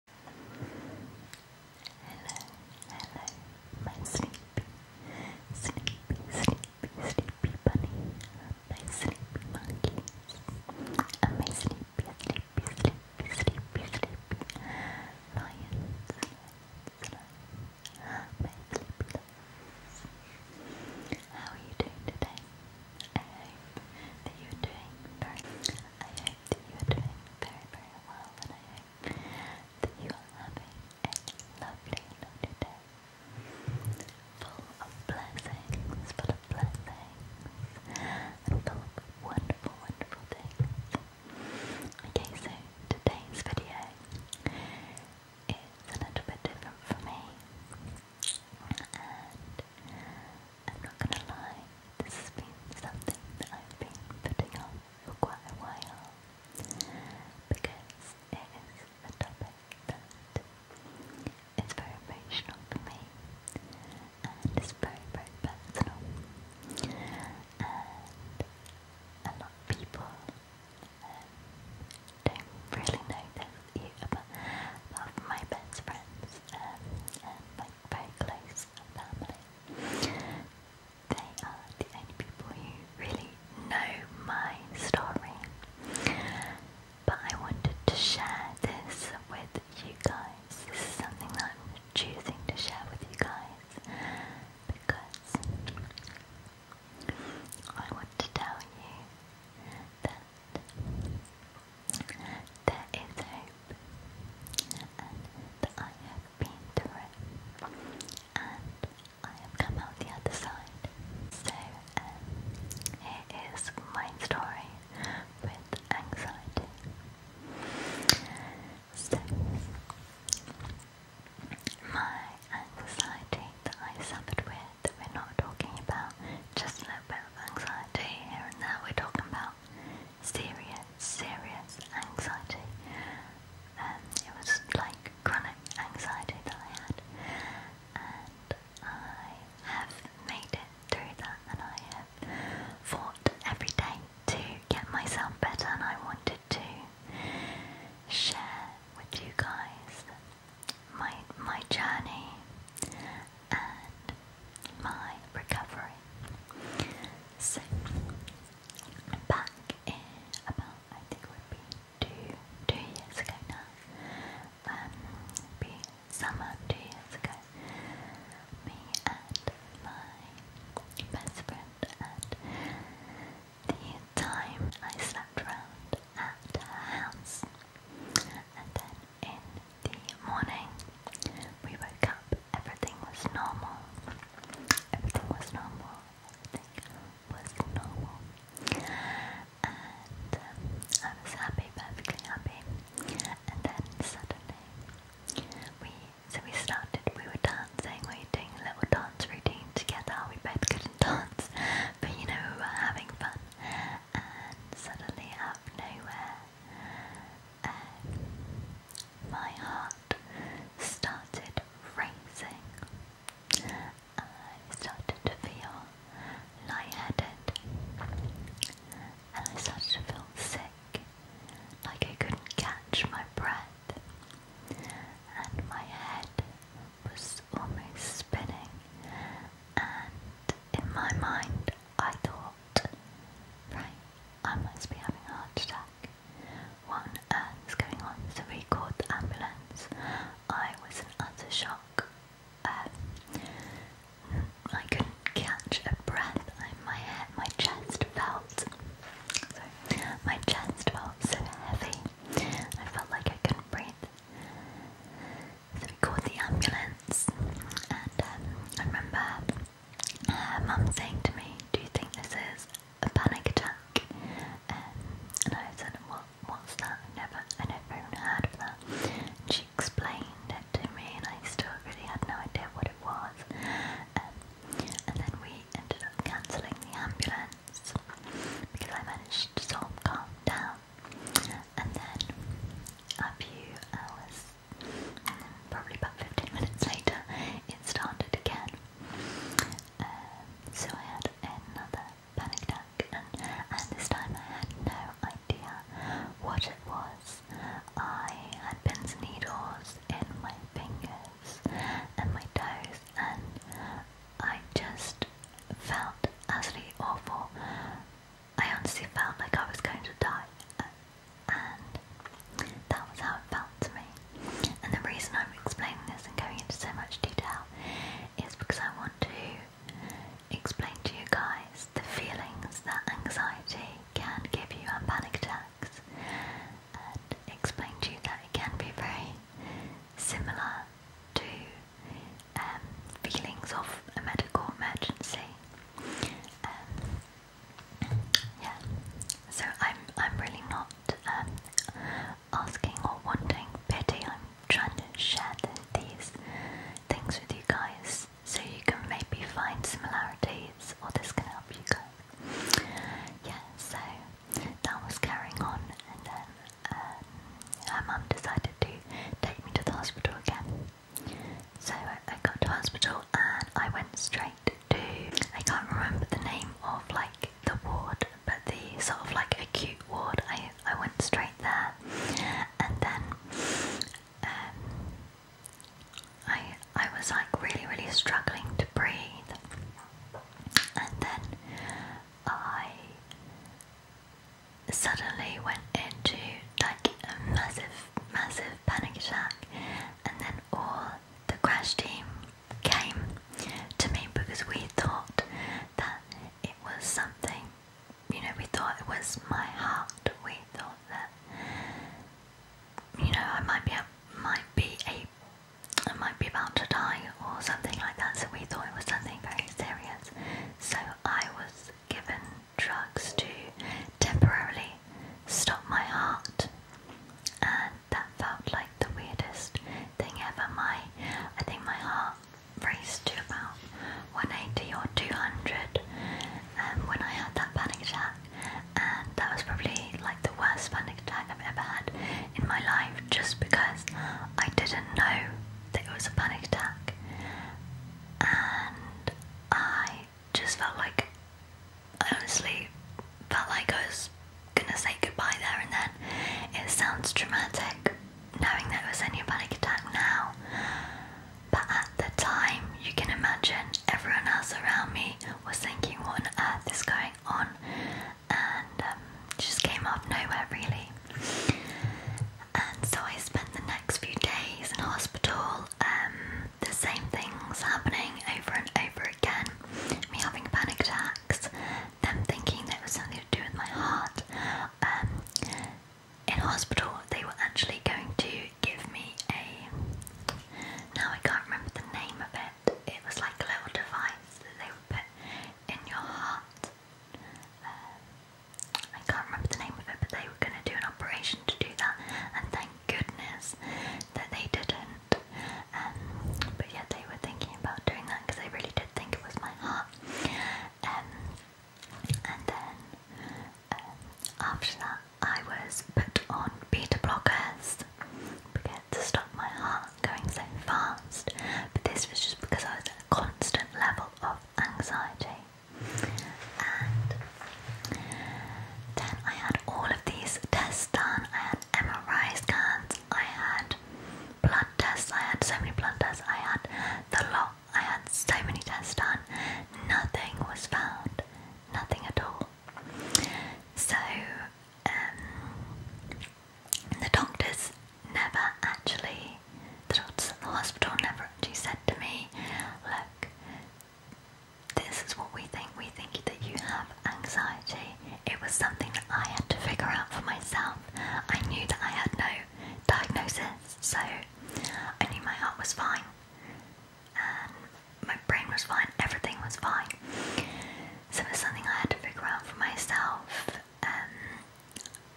Hello, hello, my sleepy, sleepy, sleepy, sleepy bunny, my sleepy monkey, my sleepy, sleepy, sleepy, sleepy, sleepy lions, my sleepy How are you doing today? I you doing very hope you are very, very well, and I you are having a lovely, lovely day. Full of blessings, full of blessings, and full of wonderful, wonderful things. Okay, so today's video is a little bit different for me, I'm not gonna lie, this has been something that I've been putting off for quite a while because it is a topic that is very emotional for me and it's very, personal. And a lot of people um, don't really know this about, about my best friends um, and very close family. They are the only people who really know my story. But I wanted to share this with you guys. This is something that I'm choosing to share with you guys because I want to tell you that there is hope, that I have been through and I have come out the other side. So, um, here is my story with anxiety. So, my anxiety that I suffered with, we're not talking about, just a little bit of anxiety here and there, we're talking about serious, serious anxiety. Um, it was like chronic anxiety that I had, and I have made it through that, and I have fought every day to get myself better, and I wanted to share with you guys my my journey and my recovery. So, back in about, I think would be two, two years ago now, um, be summer two years ago, me and my best friend and the time I slept round at her house and then in the morning, we woke up, everything was normal. Everything was normal. Everything was normal. And um, I was happy, perfectly happy. And then suddenly, we so we started, we were dancing, we were doing a little dance routine together. We both couldn't dance, but you know, we were having fun. And suddenly, out of nowhere, my heart started racing. I started to feel lightheaded, and I started to feel sick, like I couldn't catch my breath, and my head was almost spinning. And in my mind, I thought Right, I must be having a heart attack. What on going on? So record the ambulance. I was in utter shock. Um, I couldn't catch a breath. my head, my chest felt. Sorry, my chest felt so heavy. I felt like I couldn't breathe we called the ambulance, and um, I remember uh, Mum saying to me, "Do you think this is a panic attack?" Um, and I said, "What? What's that? never, I never even heard of that." she explained it to me, and I still really had no idea what it was. Um, and then we ended up cancelling the ambulance because I managed to sort of calm down. And then a few hours probably about 15 minutes later it started again. Um, so I had another panic attack and, this time I had no idea what it was. I had pins and needles in my fingers and my toes and I just felt absolutely awful. I honestly felt like I was going to die, and that was how it felt to me. And the reason I'm explaining this and going into so much detail is because I want to explain to you guys the feelings that anxiety can give you and panic attacks, and explain to you that it can be very similar to um, feelings of a medical emergency. Um, yeah, so I'm I'm really not um, asking or wanting pity. I'm trying to share these things with you guys so you can maybe find similarities, or this can help you guys. Yeah, so that was carrying on, and then um, mum decided to take me to the hospital again so I got to hospital and I went straight to I can't remember the name of like the ward, but the sort of like acute ward. I I went straight there, and then um, I I was like really really struggling to breathe, and then I suddenly went into like a massive, massive panic attack, and then all the crash team came to me because we thought that it was something, you know, we thought it was my heart. We thought that, you know, I might be, a, might be a, I might be about to die or something like that. So we thought it was something very serious. So I was given drugs to temporarily stop my heart, and that felt like the weirdest thing ever. My, I think my heart raced to about 180 or 200 um, when I had that panic attack, and that was probably like the worst panic attack I've ever had in my life, just because I didn't know that it was a panic attack, and I just felt like I honestly felt like I was gonna say goodbye there and then. It sounds dramatic knowing that it was only a panic attack now, but at the time, you can imagine everyone else around me was thinking, What on earth is going on? and um, just came out of nowhere, really. And so I spent the next few days in hospital, um, the same things happening over and over again. Me having panic attacks, them thinking there was something to do with my heart. Um, in hospital, they were actually going to give me a. Now I can't remember the name of it. It was like a little device that they would put in your heart. Um, I can't remember the name of it, but they were going to do an operation to do that, and thank goodness that they didn't. Um, but yeah, they were thinking about doing that because I really did think it was my heart. Um, and then um, after that, I was put on beta blockers to stop my heart going so fast. But this was just because I was at a constant level of anxiety. And then I had all of these tests done. I had MRI scans, I had blood tests, I had so many blood tests, I had the lot, I had so many tests done. Nothing was found, nothing at all. So, um, the doctors never actually the doctor at the hospital never actually said to me, look, this is what we think. We think that you have anxiety. It was something that I had to figure out for myself. I knew that I had no diagnosis, so I knew my heart was fine, and my brain was fine, everything was fine. So it was something I had to figure out for myself. Um,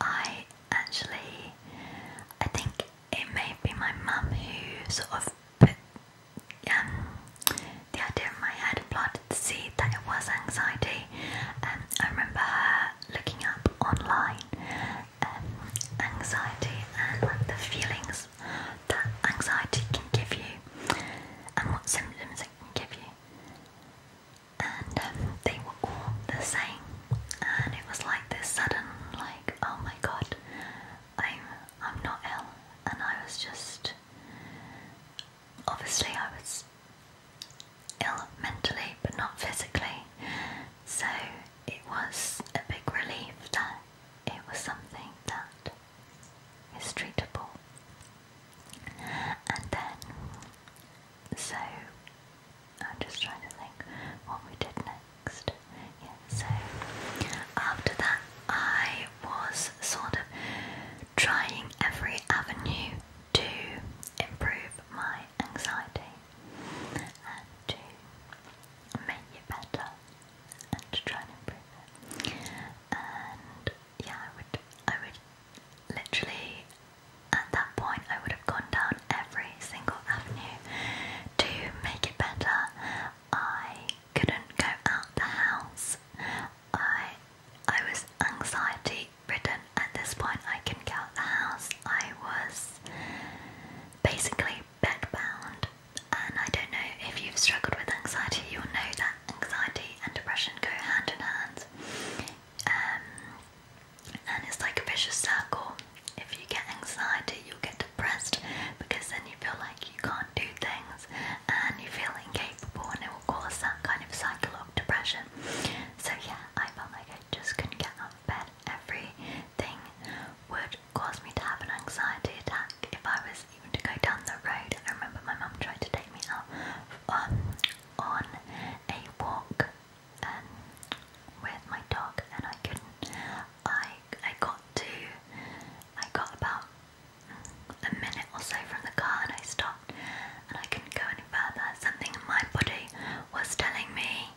I actually, I think it may be my mum who sort of put um, the idea in my head and planted the seed that it was anxiety. Um, I remember her looking up online um, anxiety and the feelings that anxiety can give you and what symptoms it can give you. And um, they were the same. And it was like this sudden, like, oh my god, I'm I'm not ill, and I was just obviously I was ill mentally, but not physically. So it was a big relief that it was something that is treatable. And then so I'm just trying to think what we did next. Yeah, so after that, I was sort of trying every avenue to improve my anxiety and to make it better and to try and improve it. And yeah, I would, I would literally at that point, I would have gone down every single avenue to make it better. I couldn't go out the house. I I was anxiety ridden at this point. I couldn't get out the house. I was basically bedbound, and I don't know if you've struggled with anxiety. You'll know that anxiety and depression go hand in hand. Um, and it's like a vicious circle. If you get anxiety, you'll get depressed because then you feel like you can't do things and you feel incapable, and it will cause that kind of cycle of depression. So, yeah, I felt like I just couldn't get out of bed. Everything would cause me to have an anxiety attack if I was even to go down the road. I remember my mum trying to take me out um, on a walk um, with my dog, and I couldn't. I I got to, I got about a minute or so from the car, and I stopped, and I couldn't go any further. Something in my body was telling me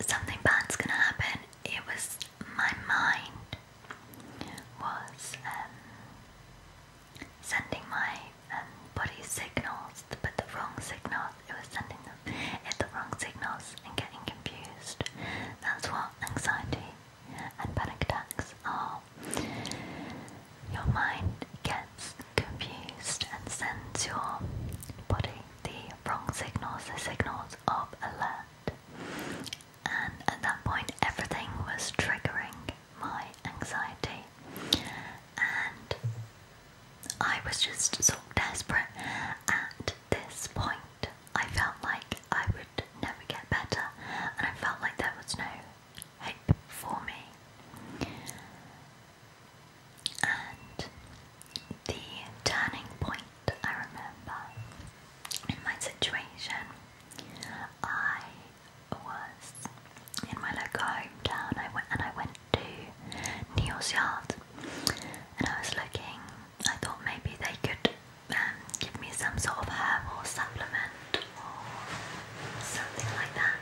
something bad's gonna happen. It was my mind was um, sending my and body signals, but the wrong signals. It was sending them at the wrong signals and getting confused. That's what anxiety and panic attacks are. Your mind gets confused and sends your body the wrong signals, the signals of alert. And at that point, everything was triggering my anxiety. And I was just so desperate at this point. I felt like I would never get better, and I felt like there was no hope for me. And the turning point I remember in my situation, I was in my local hometown I went, and I went to Neil's yard, and I was looking. I thought maybe they could um, give me some sort of herb supplement or something like that.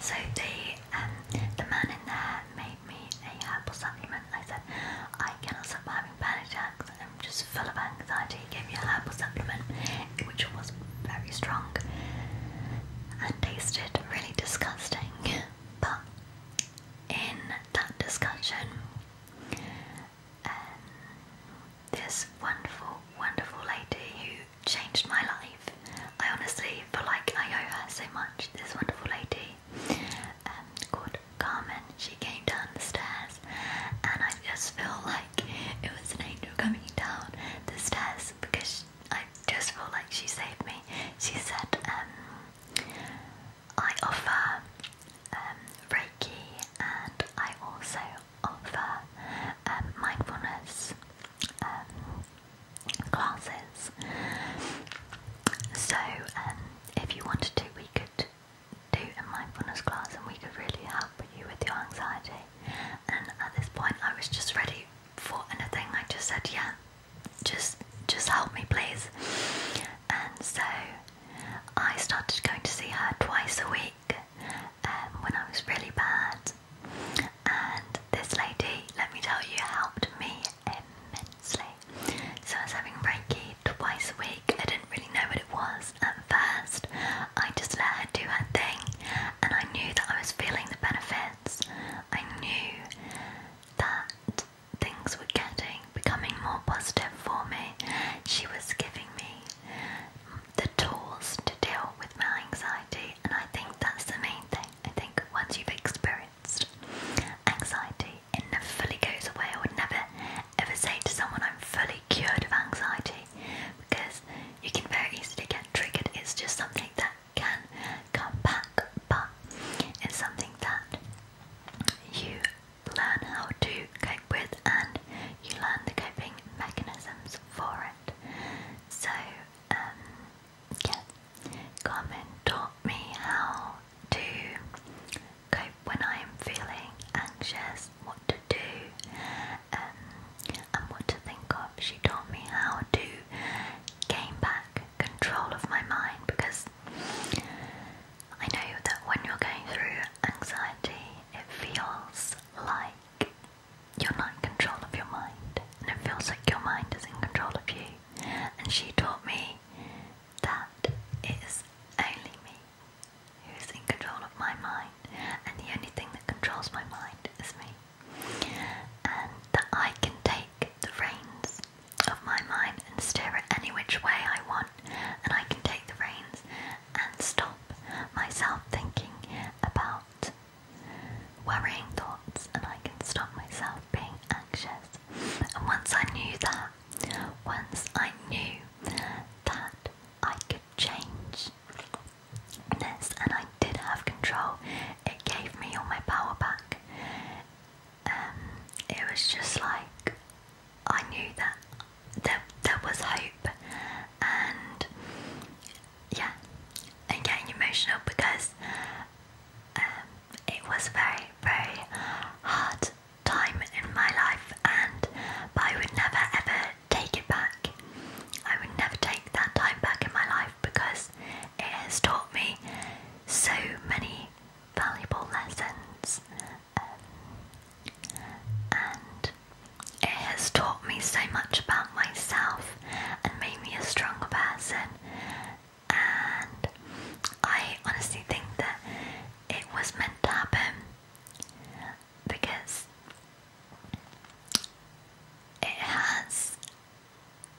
So they, um, the man in there made me a herbal supplement. I said, I cannot stop having panic attacks. I'm just full of anxiety. He gave me a herbal supplement, which was very strong and tasted really disgusting. but in that discussion, um, this wonderful, wonderful lady who changed my life. I honestly feel like I owe her so much. This wonderful lady um, called Carmen. She came down the stairs, and I just feel like it was an angel coming down the stairs because I just feel like she saved me. She said, um, I offer um, Reiki and I also offer um, mindfulness classes. So, if you wanted to, we could do a mindfulness class and we could really help you with your anxiety. And at this point, I was just ready for anything. I just said, yeah, just just help me, please. And so I started going to see her twice a week um, when I was really bad. And this lady, let me tell you, helped me immensely. So I was having Reiki twice a week. I didn't really know what it was at first. I just let her do her thing, and I knew that I was feeling the benefits. I knew that things were getting, becoming more positive for me. She was giving me the tools to deal with my anxiety, and I think that's the main thing. I think once you've experienced anxiety, it never fully goes away. I would never ever say to someone, I'm fully cured of anxiety because you can very easily get triggered. It's just something that can come back, but it's something that you learn how to cope with and you learn the coping mechanisms for it. So, um, yeah, Carmen taught me how to cope when I'm feeling anxious, what to do, um, and what to think of. She taught me how to gain back control of my mind because I know that when you're going through anxiety, it feels like you're not in control of your mind, and it feels like your mind is in control of you. And she taught me that it is only me who is in control of my mind, and the only thing that controls my mind is me and that I can take the reins of my mind and steer it any which way I want, and I can take the reins and stop myself thinking about worrying thoughts, and I can stop myself being anxious. And once I knew that, once I knew that I could change and I did have control. It gave me all my power back. Um, it was just like I knew that there, there was hope, and yeah, i getting emotional because um, it was a very, very hard time in my life, and but I would never ever take it back. I would never take that time back in my life because it has taught me so many valuable lessons um, and it has taught me so much about myself and made me a stronger person. And I honestly think that it was meant to happen because it has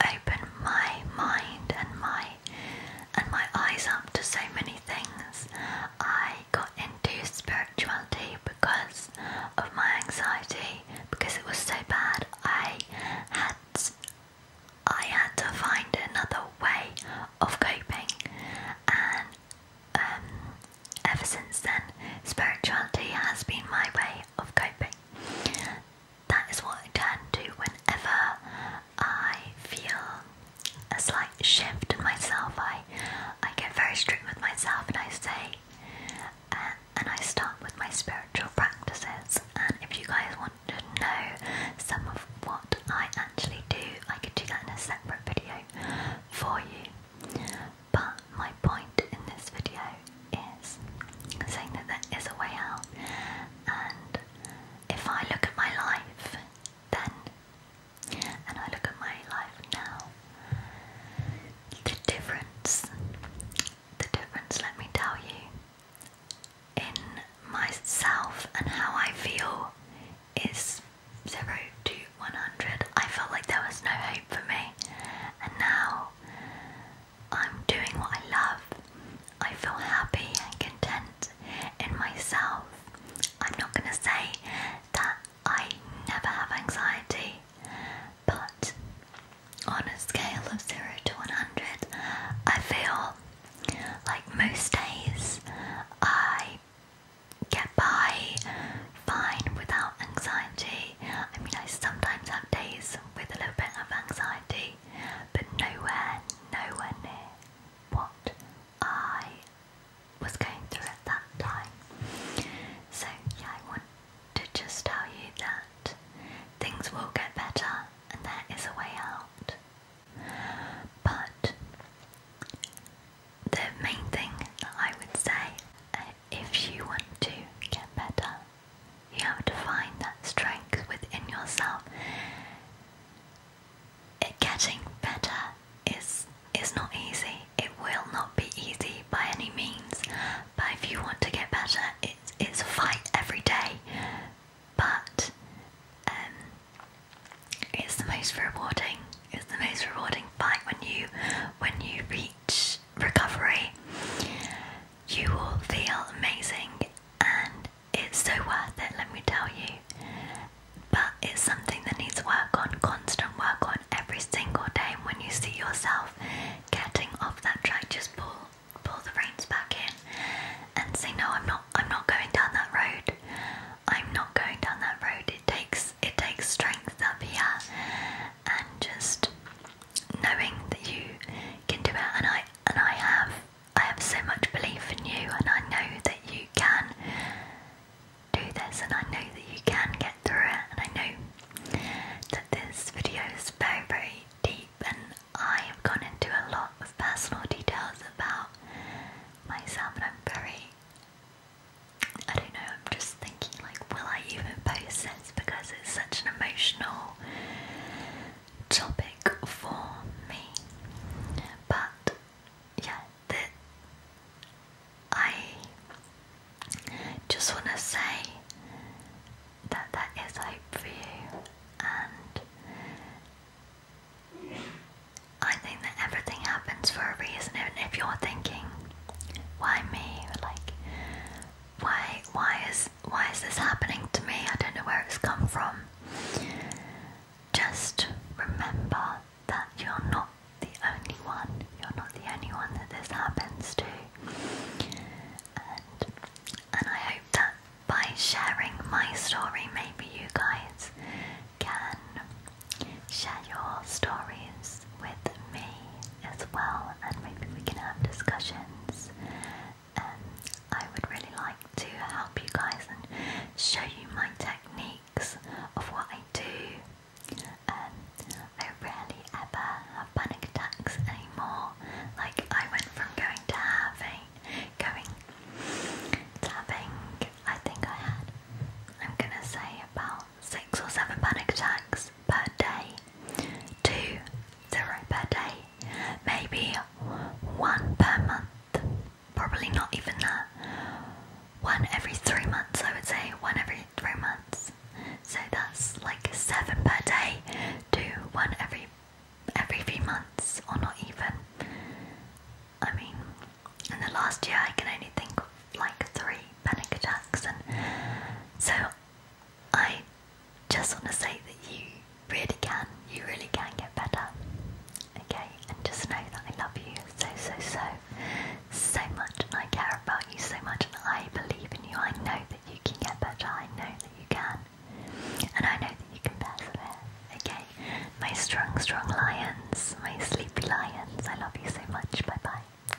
open my mind and my and my eyes up to so many things. I got into spirituality because of my anxiety because it was so bad. I had I had to find another way of coping, and um, ever since then, spirituality has been my way of coping. That is what I turn to whenever I feel a slight shift in myself. I I get very strict with myself, and I say, and I start with my spiritual practices. And if you guys want to know some of what I actually do, I could do that in a separate video for you. But my point in this video is saying that there is a way out, and if I look at my life then and I look at my life now, the difference, the difference, let me tell you, in myself and how I feel is zero to 100. I felt like there was no hope for me, and now I'm doing what I love. I feel happy and content in myself. I'm not going to say that I never have anxiety, but on a scale of 0 to 100, I feel like most days I get by fine without anxiety. I mean, I sometimes have days with a little bit of anxiety, but nowhere, nowhere near what I was going through at that time. So, yeah, I want to just tell you that things will get better and there is a way out. But the main thing that I would say if you want to get better, you have to find that strength within yourself. It, eh, getting better is is not easy. It will not be easy by any means. But if you want to get better, it's it's a fight every day. But um, it's the most rewarding. It's the most rewarding fight when you when you reach recovery. You will feel amazing and it's so worth it, let me tell you. But it's something that needs work on, constant work on every single day. when you see yourself getting off that track, just pull pull the reins back in and say, No, I'm not I'm not going down that road. I'm not going down that road. It takes it takes strength up here and just knowing that you can do it and I and I have I have so much belief in you and I know that you can do this and I know that you can get through it and I know that this video is very very deep and I have gone into a lot of personal details about myself and I'm very I don't know, I'm just thinking like, will I even post this because it's such an emotional topic for me. But yeah, I just want to say that that is hope for you, and I think that everything happens for a reason. Even if you're thinking, "Why me?" Like, why why is why is this happening to me? I don't know where it's come from. Just remember that you're not the only one. You're not the only one that this happens to. And and I hope that by sharing my story maybe you guys can share your stories with me as well, and maybe we can have discussions. Um, I would really like to help you guys and show you my techniques of what I do. Um, I rarely ever have panic attacks anymore. Like I went from going to having, going to having, I think I had, I'm gonna say about six or seven panic attacks six per day, two zero per day, maybe one per month, probably not even that. One every three months, I would say, one every three months. So that's like seven per day, two one every every few months, or not even. I mean, in the last year, I can only think of like three panic attacks, and so I just want to say that you really can, you really can get better. Okay, and just know that I love you so, so, so, so much, and I care about you so much, and I believe in you. I know that you can get better, I know that you can, and I know that you can persevere. Okay, my strong, strong lions, my sleepy lions, I love you so much. Bye bye.